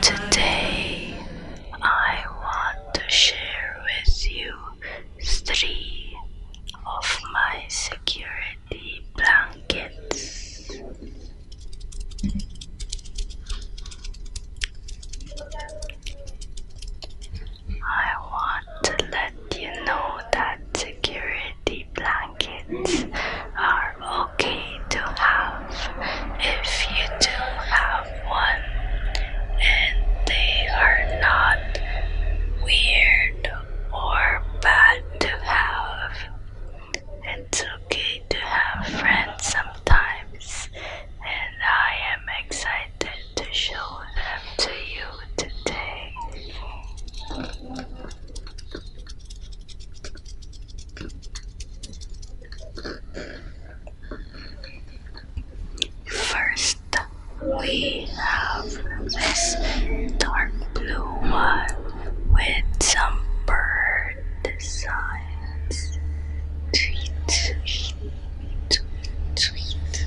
Today I want to share with you three of my security blankets. I want to let you know that security blankets are are okay to have if you do have one and they are not weird or bad to have. It's okay to have friends sometimes, and I am excited to show them to you today. First, we have this dark blue one with some bird designs. Tweet, tweet, tweet, tweet.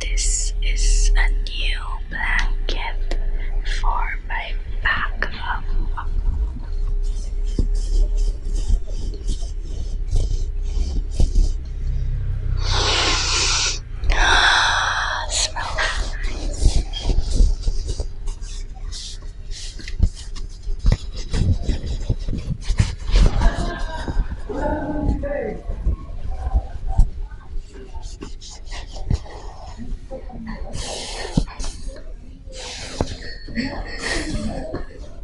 This is a new blanket for my back. Smell nice.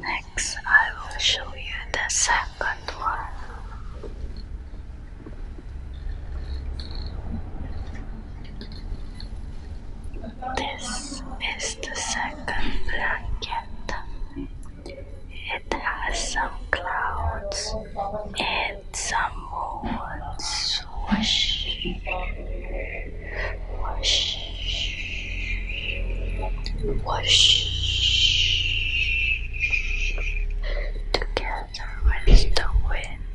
Next, I will show you the second one. This is the second blanket. It has some clouds. It with some more swish, whoosh, whoosh, together with the wind.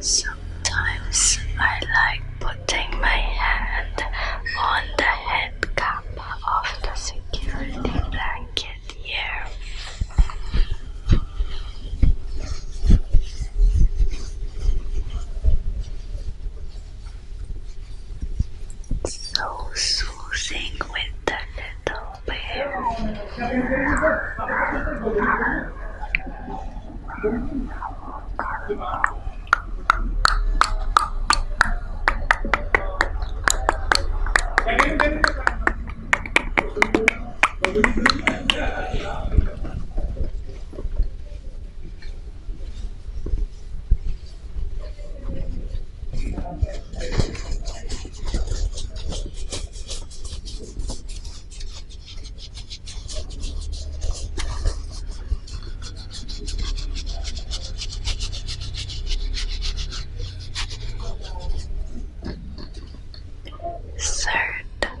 Sometimes I like putting my hand on the head cap of the security blanket here. So soothing with the little bear. Certain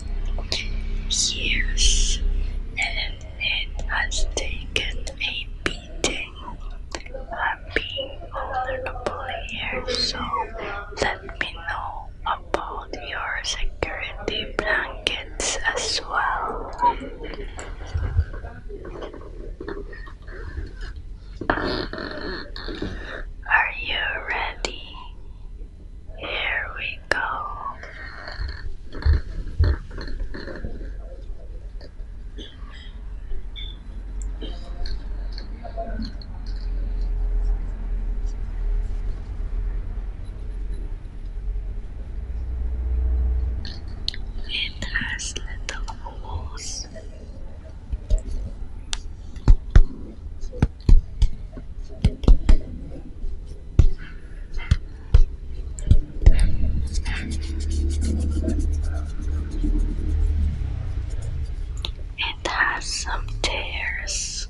Yes, Ellen has taken a beating. I'm being vulnerable here, so let me know about your security blankets as well. Are you ready? Here we go. It has little it has some tears.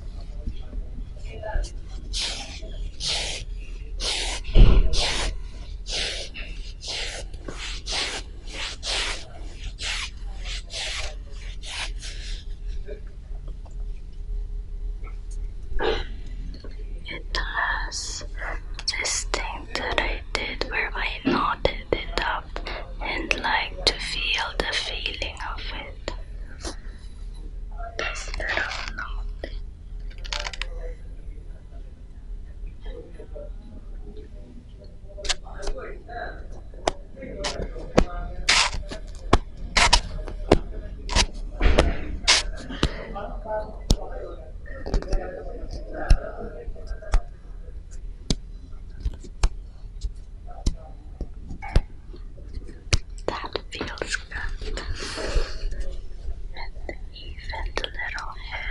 It has this thing that I did where I nodded it up and like to feel the feeling of it. This little knot. That feels good. And even the little hand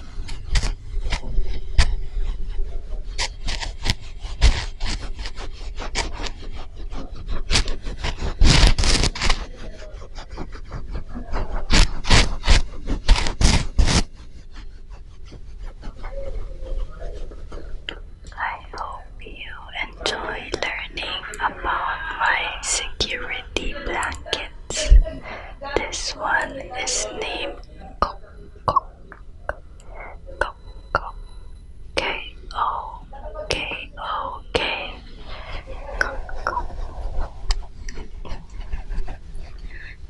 I hope you enjoy learning about my security blanket. This one is named K O K O K O K.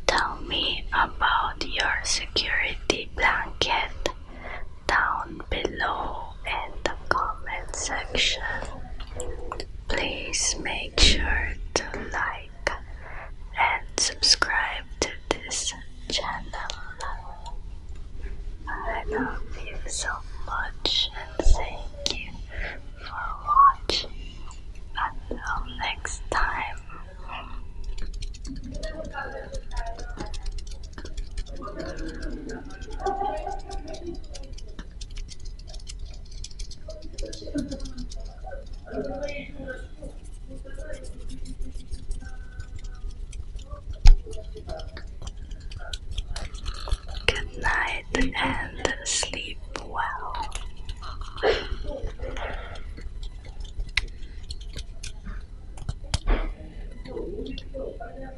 Tell me about your security blanket down below in the comment section. Please make sure to like and subscribe to this channel. I love you so much and thank you for watching. Until next time. Good night and sleep well.